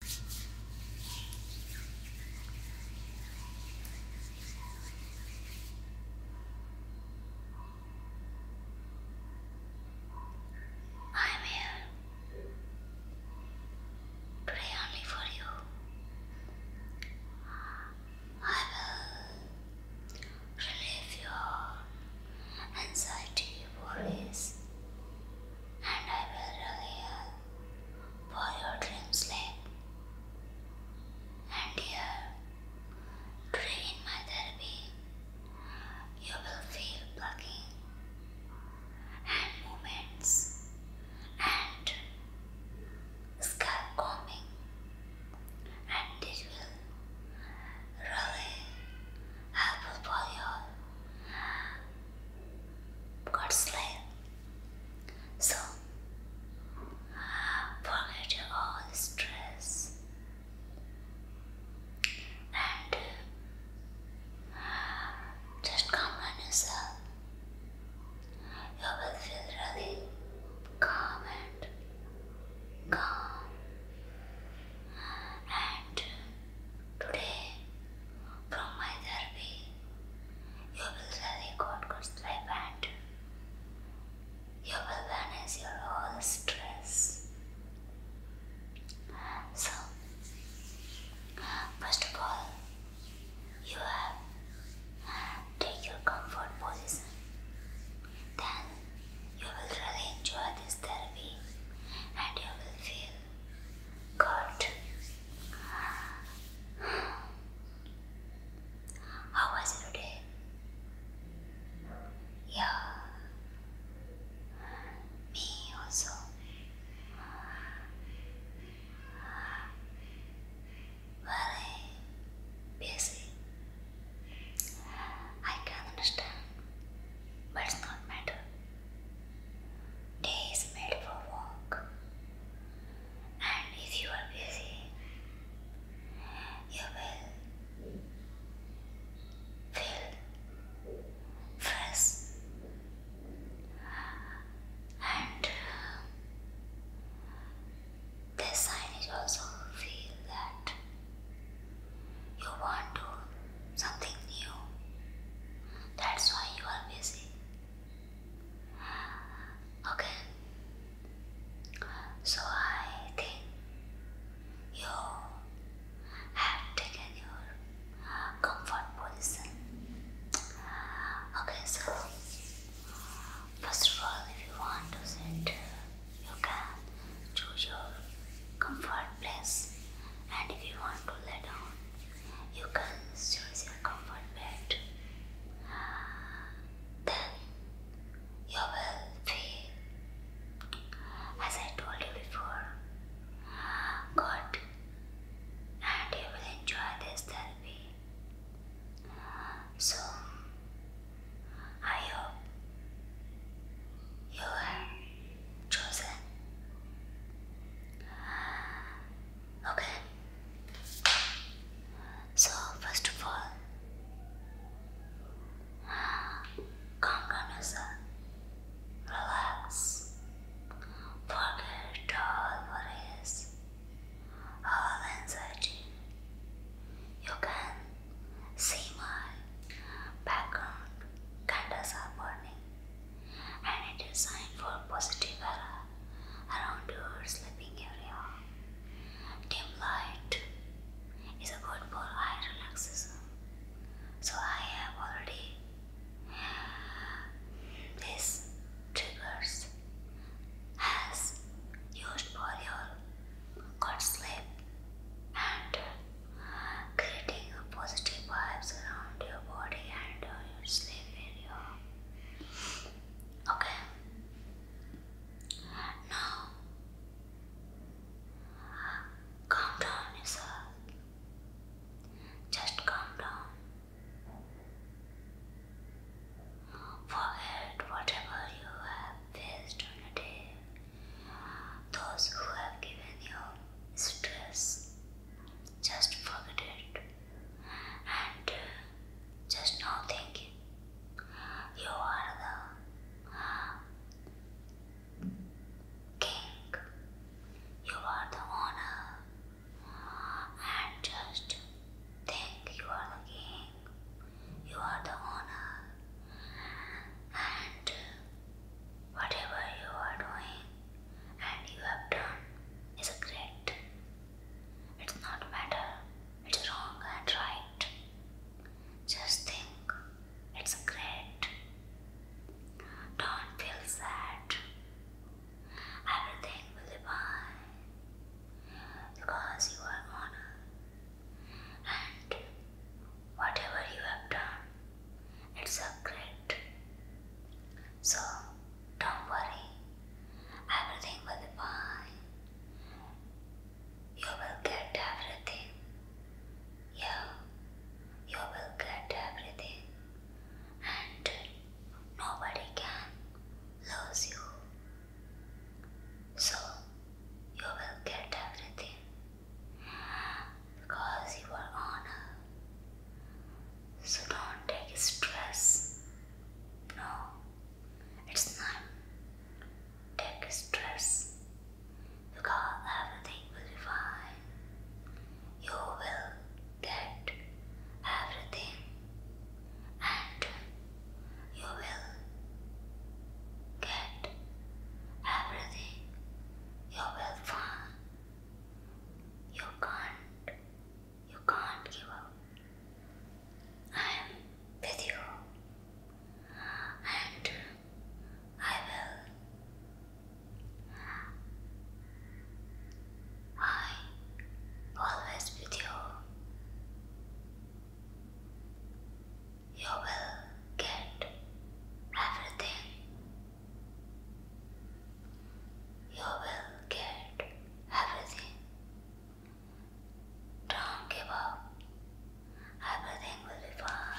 I'm here. Pray only for you. I will relieve your anxiety, worries, and I will relieve for your dreams, sleep. And here, today my therapy, you will feel plucking and movements and scalp combing, and this will really helpful for your God's love. So, forget all stress and just calm yourself. You will feel really calm and calm and Today, from my therapy, you will really God God's life and you will manage your whole stress. So, first of all, you have take your comfort position. Then you will really enjoy this therapy and you will feel Good. How was your day? Yeah. Me also. Very eh, busy. I can understand, but it's not matter. Day is made for work, and if you are busy, you will feel first and uh, this sign is also feel that you want to something new. That's why you are busy. Okay. So I think you have taken your comfort position. Okay, so first of all, if you want to sit, you can choose your comfort place, and if you want to lay down, you can choose your comfort bed. Then you will feel, as I told you before, good and you will enjoy this therapy. So, I hope you chosen. Okay. So, first of all, calm down relax, forget all worries, all anxiety. You can see my background candles are burning and it is sign for positive aura around your sleeping area. Dim light is a good for eye relaxation. So I have already this triggers has used for your good sleep and creating a positive vibes around your body and uh, your sleep area. Okay. Now, calm down yourself. Just calm down. Forget whatever you have faced on a day. Those who have given you stress just forget it and uh, just now think you are the king, you are the owner, and just think you are the king, you are the owner, and uh, Whatever you are doing and you have done is great. It's not matter, it's wrong and right. Just think, it's great. Don't feel sad. Everything will be fine because you are honor and whatever you have done, it's a great. So don't worry, everything will be fine. You will get everything. Yeah, you will get everything, and nobody can lose you. So you will get everything because you are honored. So don't take stress. No, it's not. Take stress because everything will be fine. You will get everything and you will get everything you will find you can't. You can't give up. I am with you. And I will. I always with you. You will get everything you will get everything. Don't give up. Everything will be fine.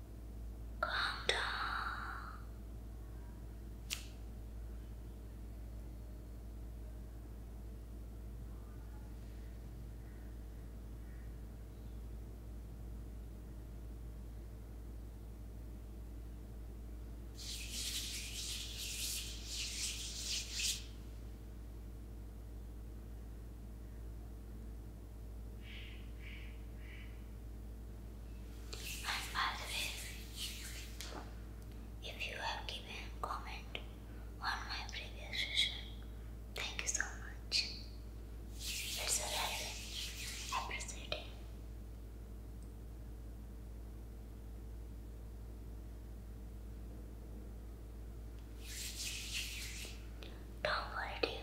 calm down. And always, if you have given comment on my previous session, thank you so much. It's a really appreciating. Don't worry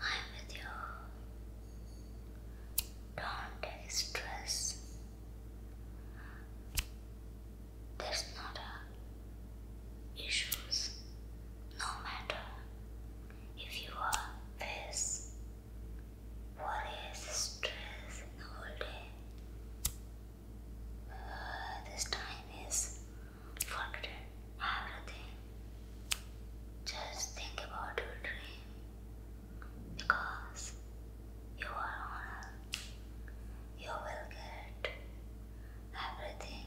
I'm with you. Don't take stress. There's not a issues. No matter if you are face worries, stress in the whole day. Uh, this time is forgotten everything. Just think about your dream because you are honored. You will get everything.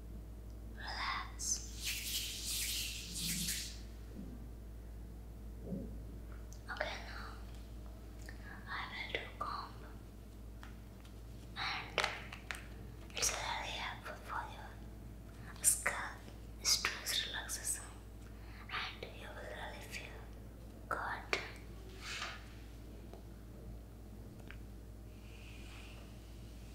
Relax. Okay, now I will do comb, and it's really helpful for your scalp. Stress relaxation, and you will really feel good.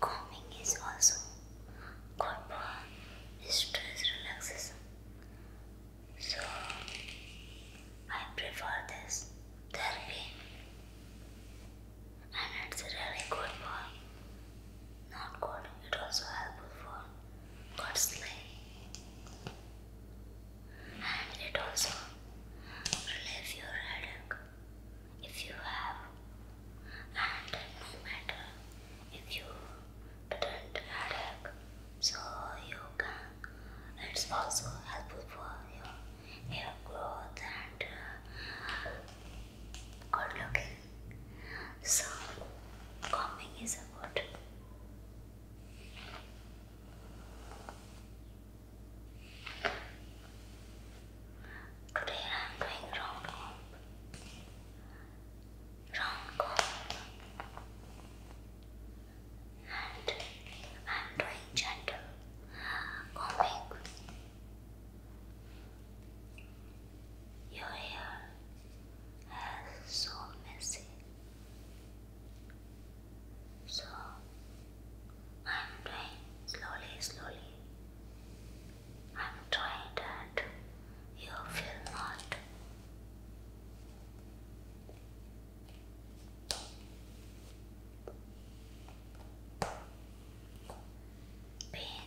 Calming is also good for stress relaxation. So I prefer this therapy and it's really good for not coding is also helpful for God And it also relieves your headache if you have and no matter if you didn't headache so you can it's also helpful for your hair growth and uh, good looking so, combing is about Today I am doing round comb. Round comb. And I am doing gentle combing. Your hair so messy. So I'm doing slowly, slowly. I'm trying that you feel not. Pain.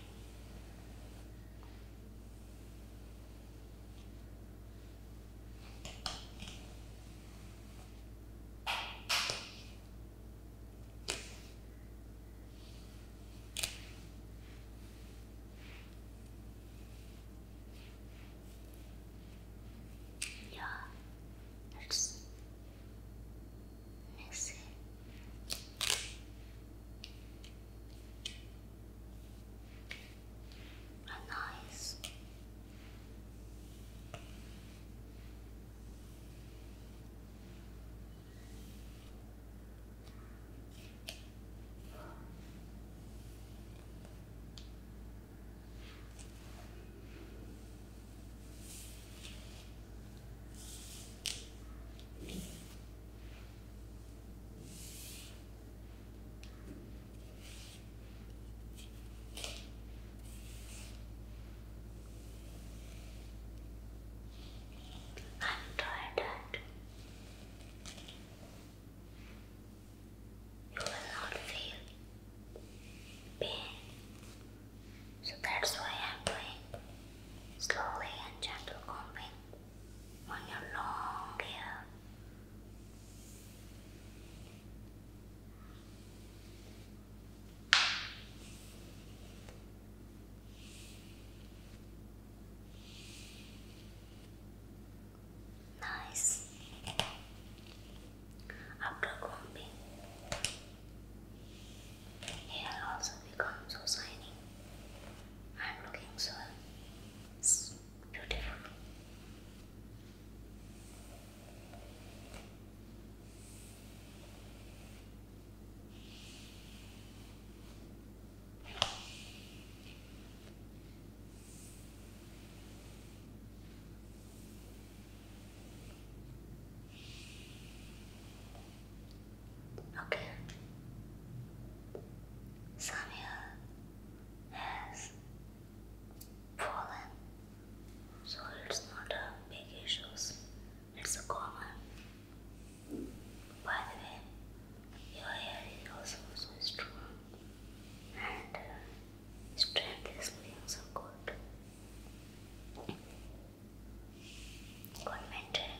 Yeah, let's mix it are nice. I'm You will not feel pain, so that's why I'm doing slowly and gentle combing on your long hair. Nice. After combing, hair also becomes so shiny and looking so it's beautiful. Okay. Samuel has fallen, so it's not a big issue, it's common. By the way, your hair is also so strong and uh, strength is being so good. Good maintain.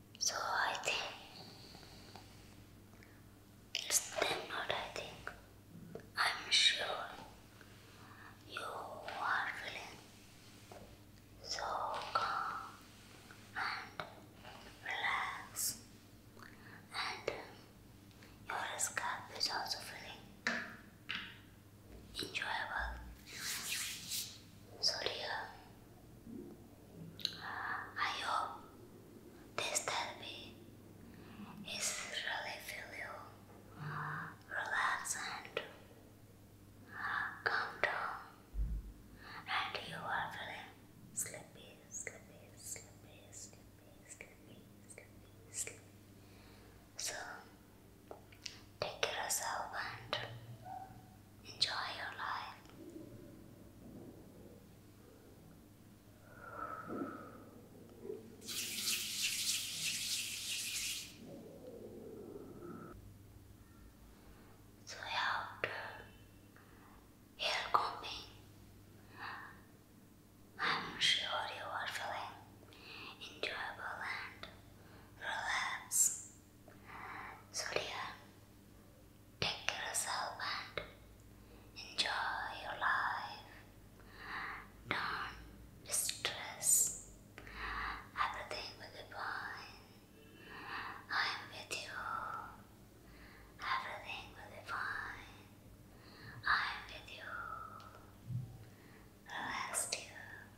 So I think it's them not I think. I'm sure you are feeling so calm and relaxed and um, your scalp is also feeling enjoyable. So dear, I hope this therapy is really feel you relax and calm down and you are feeling sleepy, sleepy, sleepy, sleepy, sleepy, sleepy, sleepy. So take care of yourself and enjoy your life. So after hair combing, I'm sure you are feeling enjoyable and relaxed. So dear, take care of yourself and enjoy your life. Don't stress. Everything will be fine. I am with you. Everything will be fine. I am with you. Relax, dear.